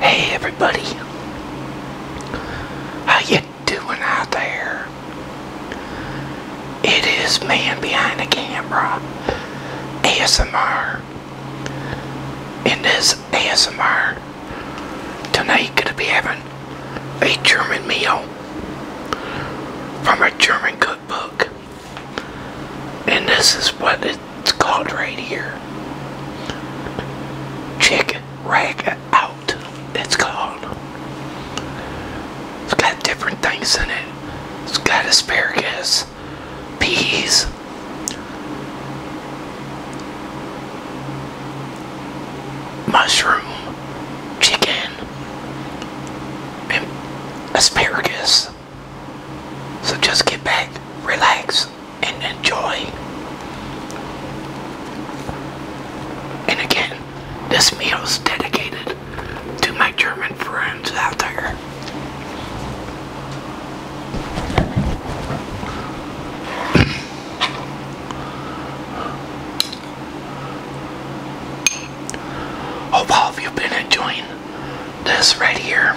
Hey everybody, how you doing out there? It is Man Behind the Camera, ASMR. In this ASMR, tonight gonna be having a German meal from a German cookbook. And this is what it's called right here. Chick rag out. It's called. It's got different things in it. It's got asparagus, peas, mushroom, chicken, and asparagus. So just get back, relax, and enjoy. And again, this meal is dedicated to my German friends out there. Hope all of you have been enjoying this right here.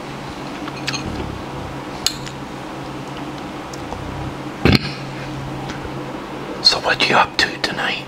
so what you up to tonight?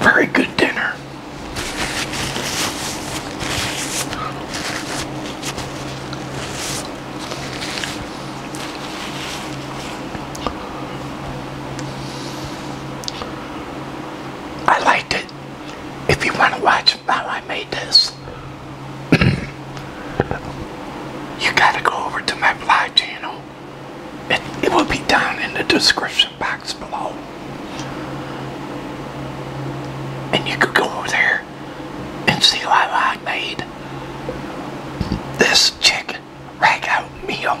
Very good dinner. I liked it. If you want to watch how I made this, you got to go over to my blog channel. it will be down in the description box below. And you could go over there and see how I made this chicken ragout meal.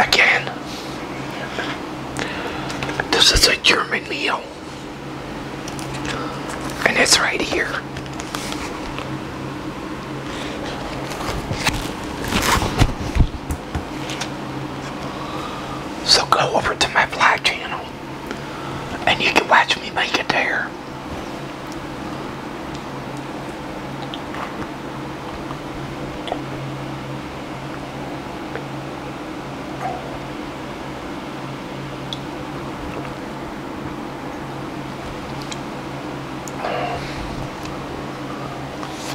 Again, this is a German meal. And it's right here. So go over to my vlog channel and you can watch me make it there.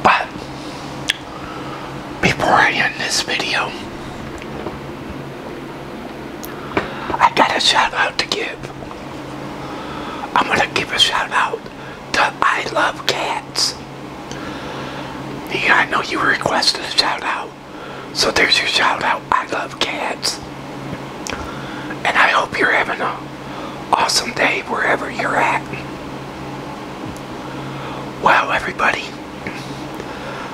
But before I end this video, I got a shout out to give. I'm going to give a shout out to I Love Cats. Yeah, I know you requested a shout out. So there's your shout out. I love cats. And I hope you're having an awesome day wherever you're at. Wow, everybody.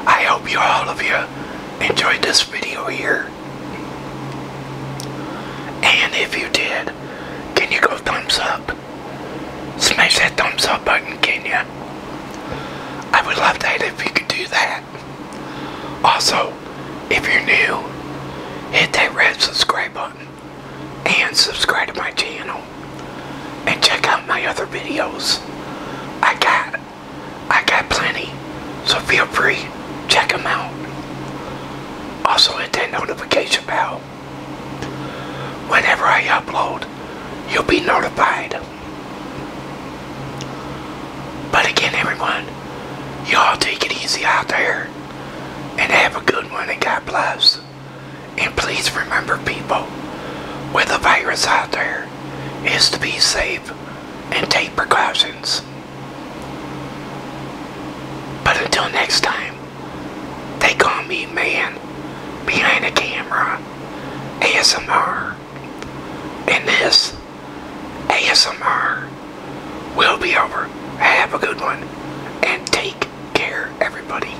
I hope you are all of you you enjoyed this video here. And if you did, can you go thumbs up? Smash that thumbs up button, can you? I would love that if you could do that. Also, if you're new, hit that red subscribe button and subscribe to my channel and check out my other videos. I got I got plenty, so feel free, check them out. Also hit that notification bell. Whenever I upload, you'll be notified. But again, everyone, y'all take it easy out there and have a good one and God bless. And please remember people, with the virus out there, is to be safe and take precautions. But until next time, they call me man behind the camera, ASMR. And this ASMR will be over. Have a good one and take care, everybody.